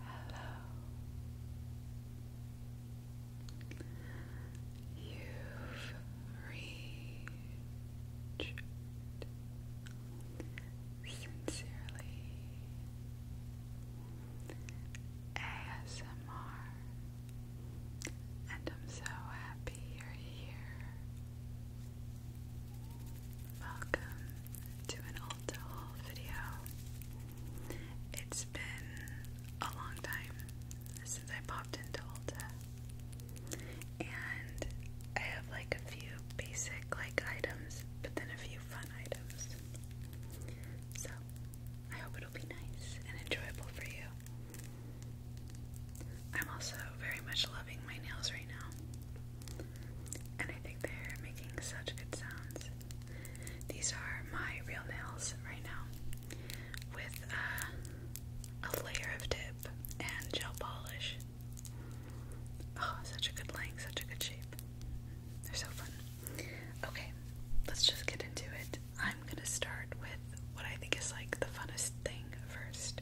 Hello. You've reached sincerely ASMR, and I'm so happy you're here. Welcome to an Ulta haul video. It's been a long time since I popped into Ulta. And I have like a few basic like items, but then a few fun items. So I hope it'll be nice and enjoyable for you. I'm also very much loving my nails right now and I think they're making such good sounds. These are my real nails right now with uh, a layer of tip and gel polish. Oh, such a good length, such a good shape. They're so fun. Okay, let's just get into it. I'm gonna start with what I think is like the funnest thing first.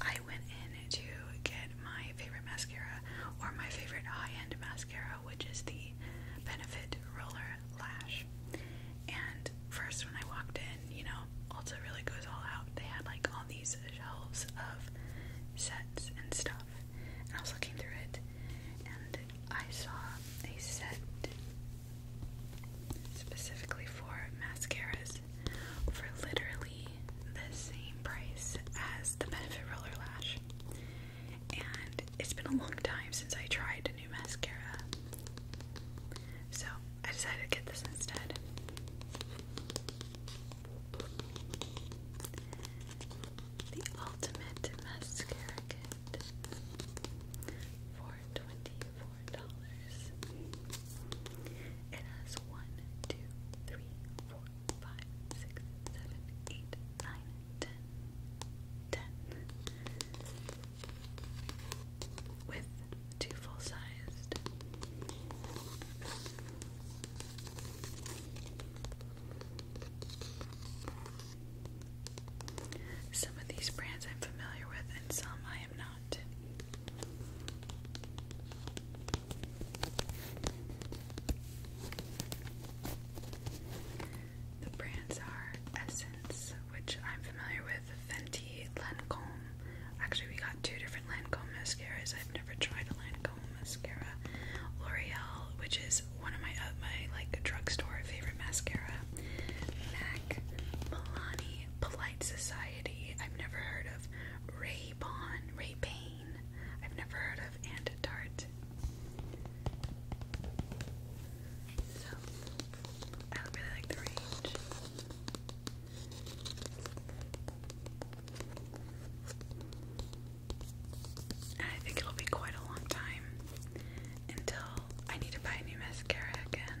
I I went in to get my favorite mascara or my favorite high-end mascara, which is the Benefit Roller Lash. And first, when I walked in, you know, Ulta really goes all out. They had like all these shelves of sets and stuff, and I was looking through it, and I saw a set specifically for mascaras, for literally the same price as the Benefit Roller Lash. And it's been a long time since I tried a new mascara. So I decided to get this instead. The Ultimate Mascara Kit for $24. It has one, two, three, four four, five, six, seven, eight, nine, ten, ten. With two full sized. Some of these brands I'm familiar with, and some I am not. The brands are Essence, which I'm familiar with, Fenty, Lancome. Actually, we got two different Lancome mascaras. I've never tried a Lancome mascara. L'Oreal, which is one of my uh, my like drugstore favorite mascara. MAC, Milani, Polite Society. I've never heard of. Ray Ray Bon, Ray Payne. I've never heard of and Tart. So I really like the range. And I think it'll be quite a long time until I need to buy a new mascara again.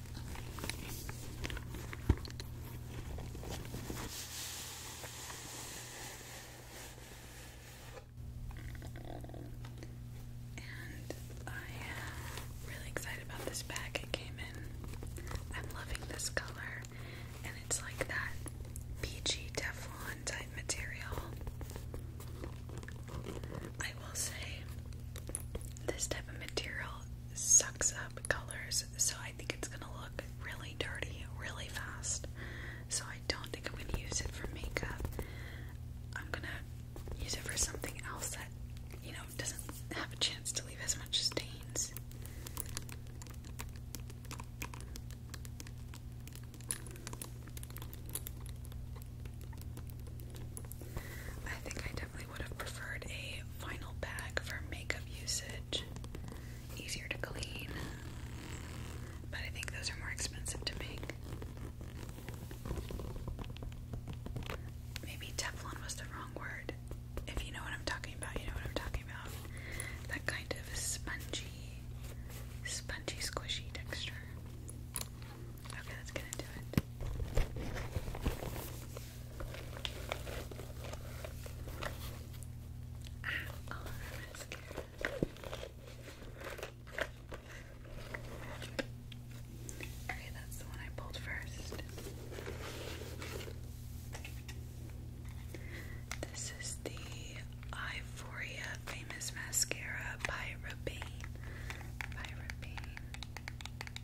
I am really excited about this bag it came in. I'm loving this color, and it's like that peachy Teflon type material. I will say, this type of material sucks up colors, so I think it's gonna look really dirty really fast. So I don't think I'm gonna use it for makeup. I'm gonna use it for something else that, you know, doesn't have a chance to leave as much stains. I think I definitely would have preferred a vinyl bag for makeup usage. Easier to clean, but I think those are more expensive to make. Maybe Teflon was the wrong word. If you know what I'm talking about, you know what I'm talking about. That kind of spongy, spongy, squishy texture. Okay, let's get into it. Ah, all mascara. Okay, that's the one I pulled first. This is the Euphoria Famous Mascara by Rabain.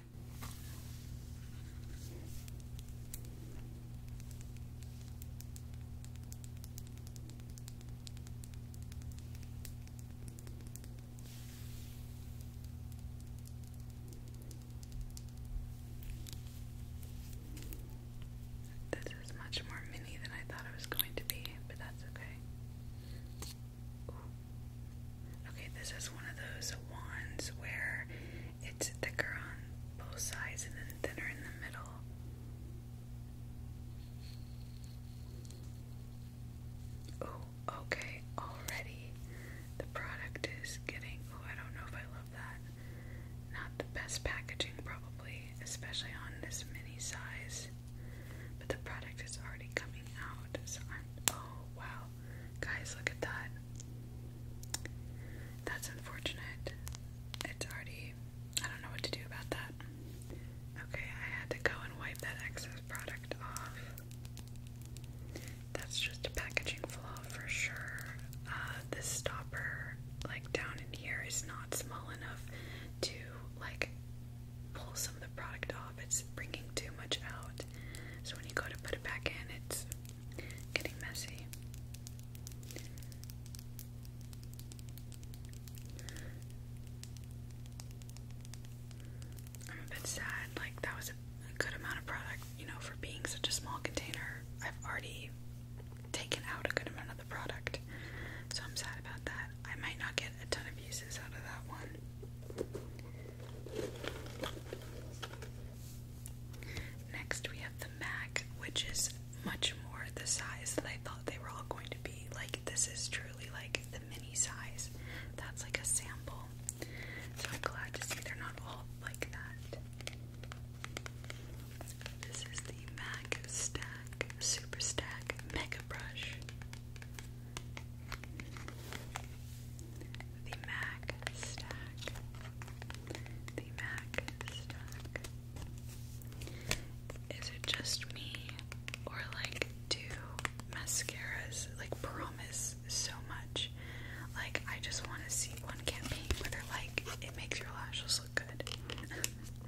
This is much more mini than I thought it was going to be, but that's okay. Okay, this is one of those wands where it's thicker on both sides and then thinner in the middle. Oh, okay, already the product is getting. Oh, I don't know if I love that. Not the best packaging, probably, especially on this mini size. But the product is already coming out, so I'm. Oh, wow. Guys, look at that. That's unfortunate. It's already. I don't know what to do about that. Okay, I had to go and wipe that excess product off. That's just a packaging flaw for sure. Uh, this stopper, like down in here, is not small enough to like pull some of the product off. It's bringing too much out. So when you go to put it back in, it's getting messy. I'm a bit sad. Like, that was a a good amount of product, you know, for being such a small container. I've already taken out a good amount of the product, so I'm sad about that. I might not get a ton of uses out of that one. Next, we have the MAC, which is much more the size that I thought they were all going to be. Like, this is truly like the mini size. That's like a sample. So I'm glad to see they're not all like that. This is the MAC Stack Super Stack Mega Brush. The Mac Stack. The Mac Stack. Is it just me, or like do mascaras like promise so much? Like I just want to see one campaign where they're like it makes your lashes look good.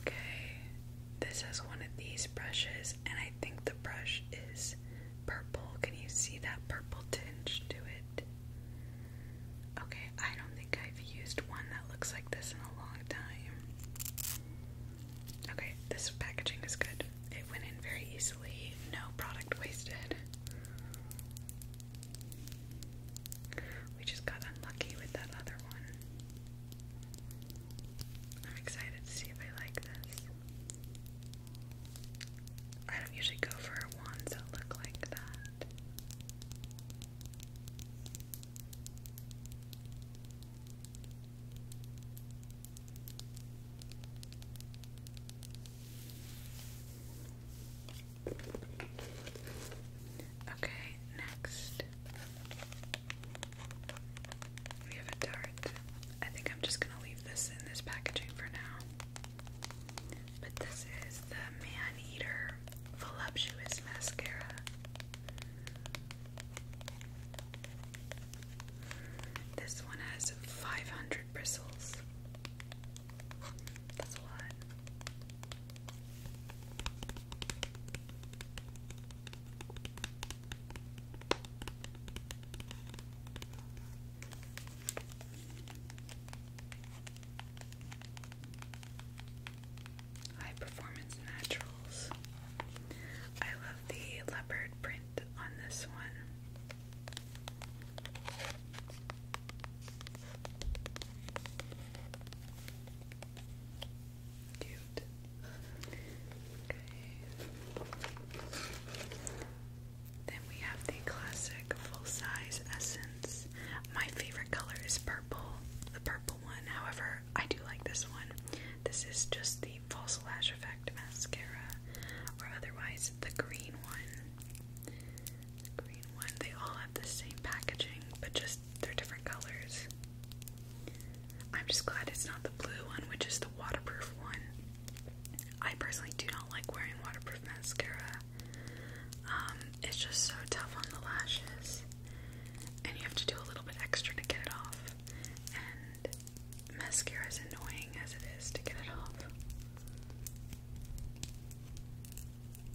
Okay, this is one of these brushes, and I think the brush is purple. Can you see that purple tinge to it? Okay, I don't think I've used one that looks like this in a long time. Okay, this packaging is good. It went in very easily, no product wasted. We just got unlucky with that other one. I'm excited to see if I like this. I don't usually go for wands that look like that. Okay, next we have a dart. I think I'm just gonna leave this in this packaging for now. But this is the Man Eater Voluptuous Mascara. This one has 500 bristles. That's a High Performance Naturals. I love the leopard print on this one. Cute. Okay. Then we have the classic full-size essence. My favorite color is purple, the purple one. However, I do like this one. This is just the False Lash Effect mascara, or otherwise the green one green one. They all have the same packaging, but just they're different colors. I'm just glad it's not the blue one, which is the waterproof one. I personally do not like wearing waterproof mascara. Um, it's just so tough on the lashes, and you have to do a little bit extra to get it off. And mascara is annoying as it is to get it off.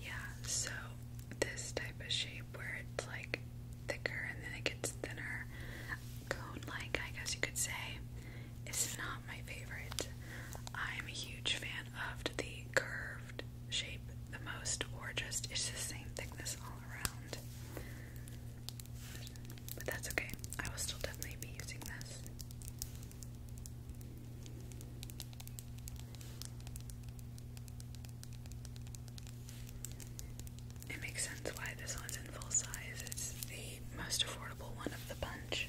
Yeah, so this type of shape where it's like thicker and then it gets thinner, cone like, I guess you could say, is not my favorite. I'm a huge fan of the curved shape the most, or just it's the same thickness all around. But that's okay, I will still definitely be using this. It makes sense why this one's in full size. It's the most affordable one of the bunch.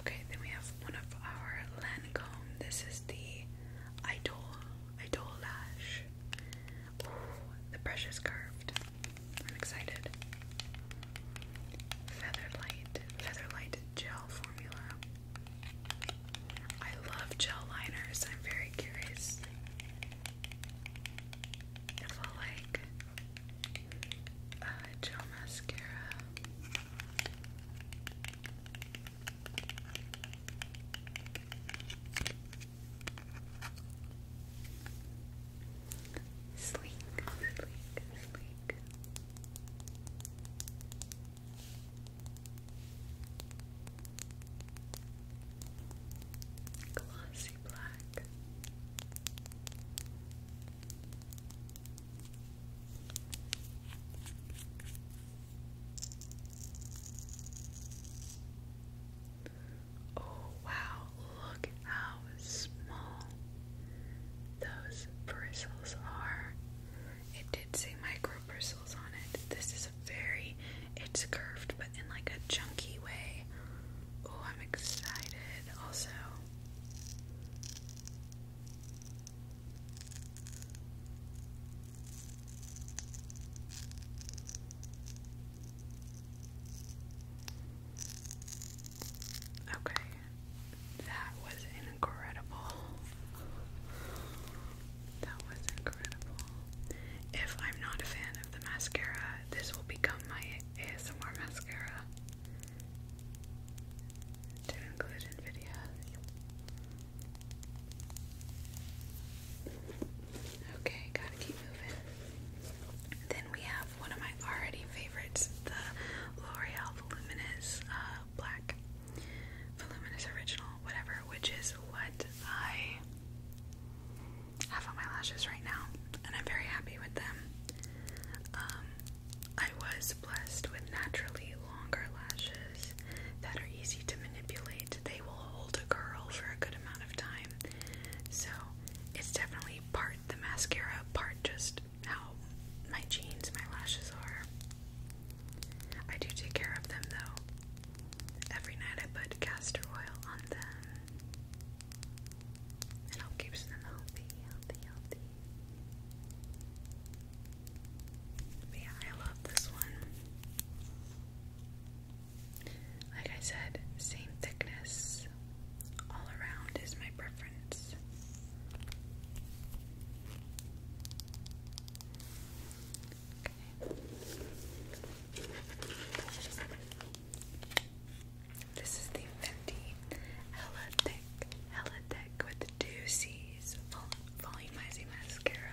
Okay, then we have one of our Lancome. This is the Idol, Idol Lash. Ooh, the brush is curved. I'm excited. Featherlight, Featherlight Gel Formula. I love gel liners. I'm very curious if I like uh, gel mascara. Sleek, sleek, sleek. Glossy black. Oh wow, look how small those bristles are. It did say micro bristles on it. This is very, it's curved but in like a chunky way. Oh, I'm excited also. Okay, that was incredible. That was incredible. If I'm not a fan of the mascara, this will become my ASMR mascara to include in Okay, gotta keep moving. Then we have one of my already favorites, the L'Oreal Voluminous uh, Black, Voluminous Original, whatever, which is what I have on my lashes right now, and I'm very happy with them. Um, I was blessed with naturally longer lashes that are easy to manipulate. They will hold a curl for a good amount of time, so it's definitely part the mascara, part just how my jeans, my lashes are. I do take care of them though. Every night I put castor oil on them. It keeps them healthy, healthy, healthy. yeah, I love this one. Like I said, same thickness all around is my preference. This is the Fenty Hella Thick, Hella Thick with the Volumizing Mascara.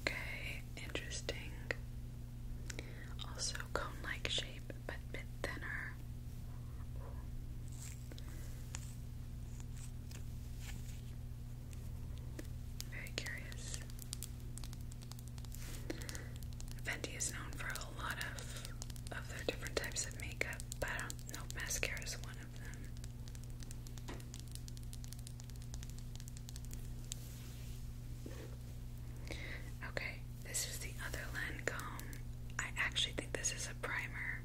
Okay, interesting. Also cone-like shape, but bit thinner. Very curious. Fenty is known for a lot of of their different types of makeup, but I mascara is one of them. Okay, this is the other Lancome. I actually think this is a primer.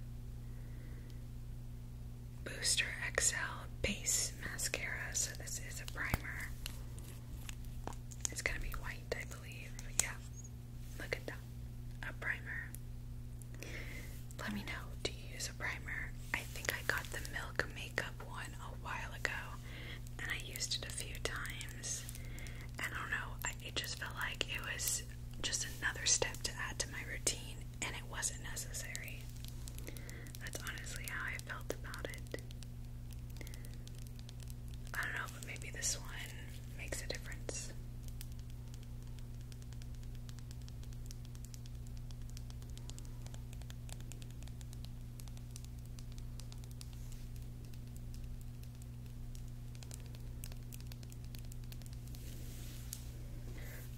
Booster XL Base Mascara. So, this is a primer. It's gonna be white, I believe. Yeah, look at that. A primer. Let me know, do you use a primer? I think I got the Milk Makeup one a while ago and I used it a few times. I don't know, it just felt like it was just another step to add to my routine and it wasn't necessary. That's honestly how I felt about it. I don't know, but maybe this one makes a difference.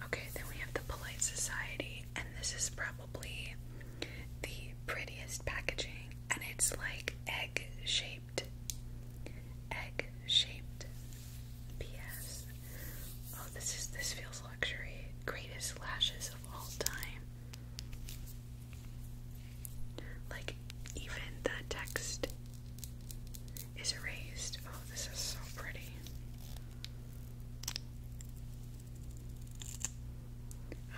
Okay, then we have the Polite Society, and this is probably the prettiest packaging, and it's like egg shaped. Egg shaped. P.S. Oh, this is this feels luxury. Greatest lashes of all time. Like even the text is erased. Oh, this is so pretty.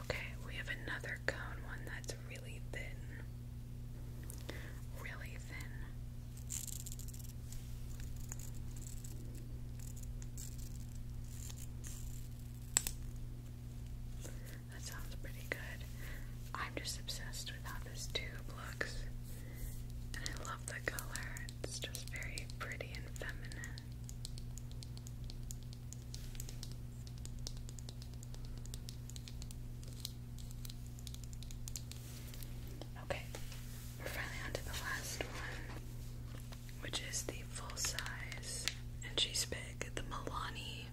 Okay, we have another cone one that's really thin. Really thin. That sounds pretty good. I'm just obsessed with how this tube looks. And I love the color. It's just very pretty and feminine. Okay, we're finally on the last one, which is the full size, and she's big. The Milani,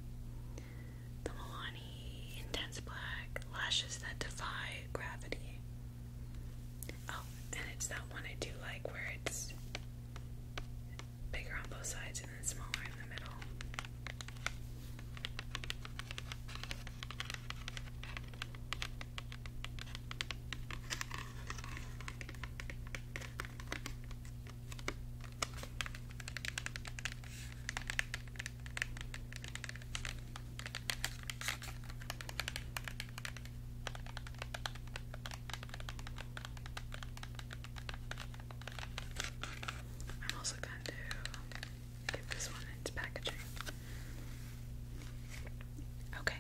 the Milani Intense Black lashes that defy gravity. Oh, and it's that one I do like where it's bigger on both sides and then smaller in the middle. I'm also going to give this one its packaging. Okay,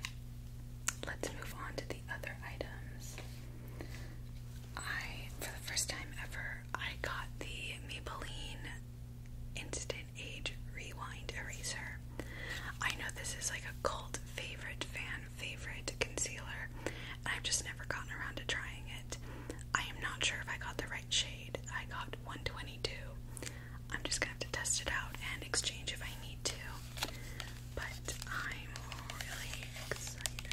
let's move on to the other items. I, for the first time ever, I got the Maybelline Instant Age Rewind Eraser. I know this is like a cult favorite, fan favorite concealer, and I've just never gotten around to trying it. I am not sure if I got the right shade. I got 122. I'm just gonna have to test it out and exchange if I need to. But I'm really excited.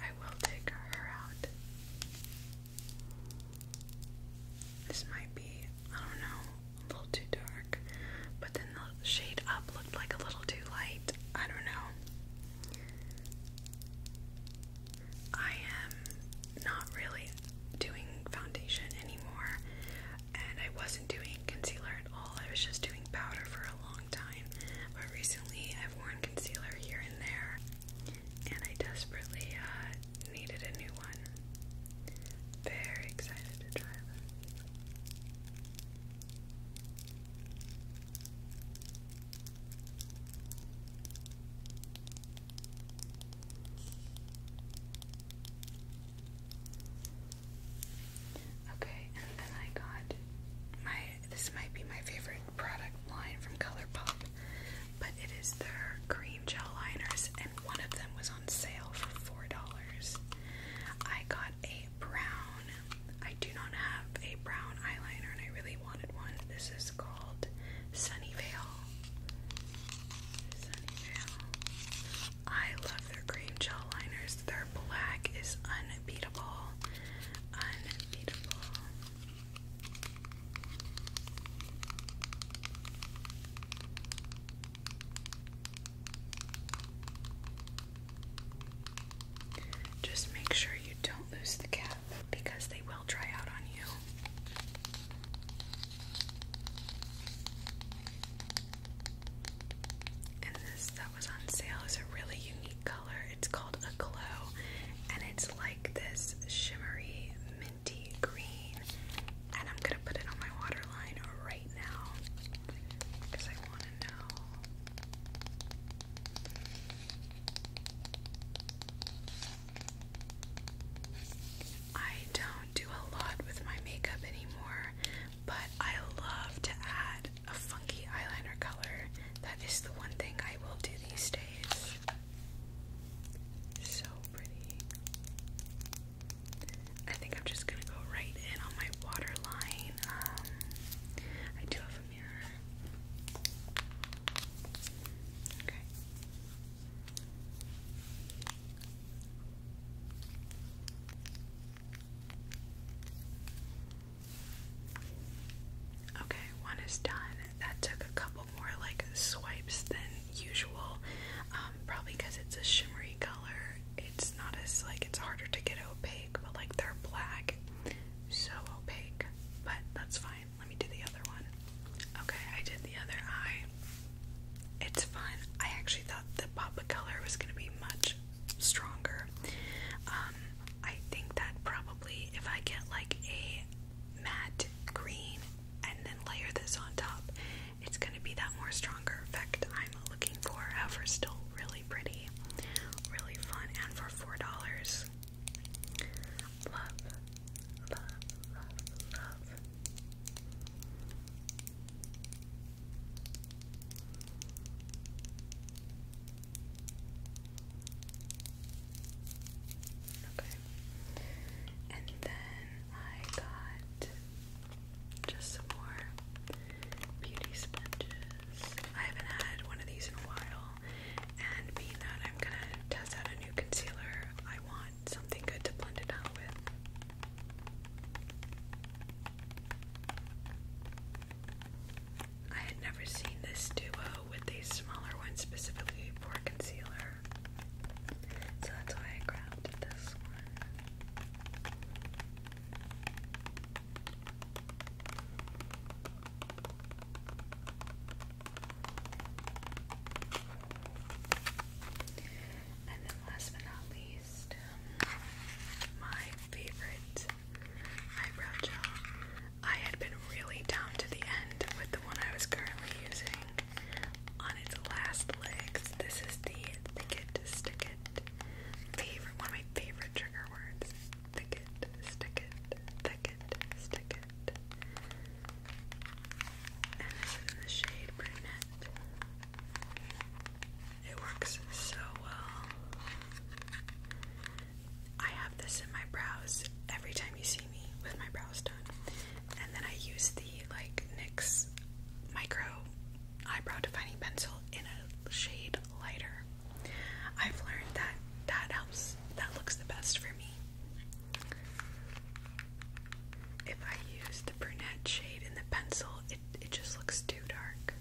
I will take her out. This might be, I don't know, a little too dark. But then the shade up looked like a little too light. I don't know. I am not really doing foundation anymore, and I wasn't doing concealer at all. I was just doing powder for a long but recently I've worn concealer here and there, and I desperately uh, needed a new one. Very excited to try them. Okay, and then I got my this might be my favorite product line from ColourPop, but it is their green gel liners, and one of them was on sale for four dollars. I got a brown. I do not have a brown eyeliner, and I really wanted one. This is called Sunnyvale. Sunnyvale. I love their cream gel liners. They're black is unbeatable. Unbeatable. Just make sure you don't lose the cap because they will dry out on you. And this that was on sale is a really unique color. It's called a glow, and it's like this shimmery minty green. And I'm gonna put it on my waterline right now because I want to know. I don't do a lot with my makeup anymore, but I love to add a funky eyeliner color. That is the one thing I will do these days. So pretty. I think I'm just gonna go right in on my waterline. Um, I do have a mirror. Okay. Okay, one is done. That took a couple more like swipes than usual. Um, probably because it's a shimmery color. It's not as like it's harder to get opaque, but like they're black, so opaque. But that's fine. Let me do the other one. Okay, I did the other eye. It's fun. I actually thought the pop of color was gonna be much stronger. Um, I think that probably if I get like a matte green and then layer this on top, it's gonna be that more stronger effect I'm looking for. However, still really pretty, really fun, and for four dollars. Love, love, love, love. Okay. And then I got just some more beauty sponges. I haven't had one of these in a while, and being that I'm gonna test out a new concealer, I want something good to blend it out with. I had never seen this duo with these smaller ones specifically for concealer. So that's why I grabbed this one. And then last but not least, my favorite eyebrow gel. I had been really down to the end with the one I was currently using on its last legs. This is the Thicket Stick It. Favorite, one of my favorite trigger words. Thicket, stick it, thicket, stick it. And this is in the shade Brunette. It works so well. I have this in my brows every time you see me with my brows done. And then I use the like NYX micro eyebrow defining pencil in a shade lighter. I've learned that that helps, that looks the best for me. If I use the brunette shade in the pencil, it, just looks too dark.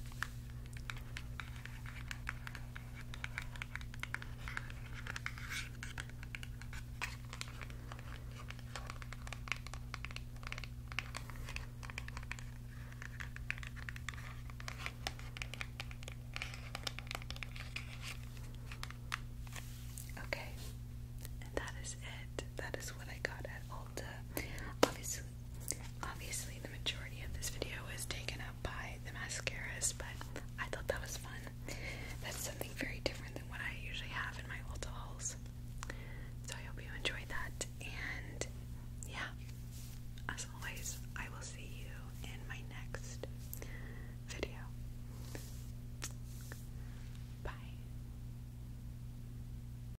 Okay, and that is it. That is what I got at Ulta. Obviously, Obviously, the majority of this video was taken up by the mascaras, but I thought that was fun. That's something very different than what I usually have in my Ulta hauls. So I hope you enjoyed that, and yeah, as always, I will see you in my next video. Bye.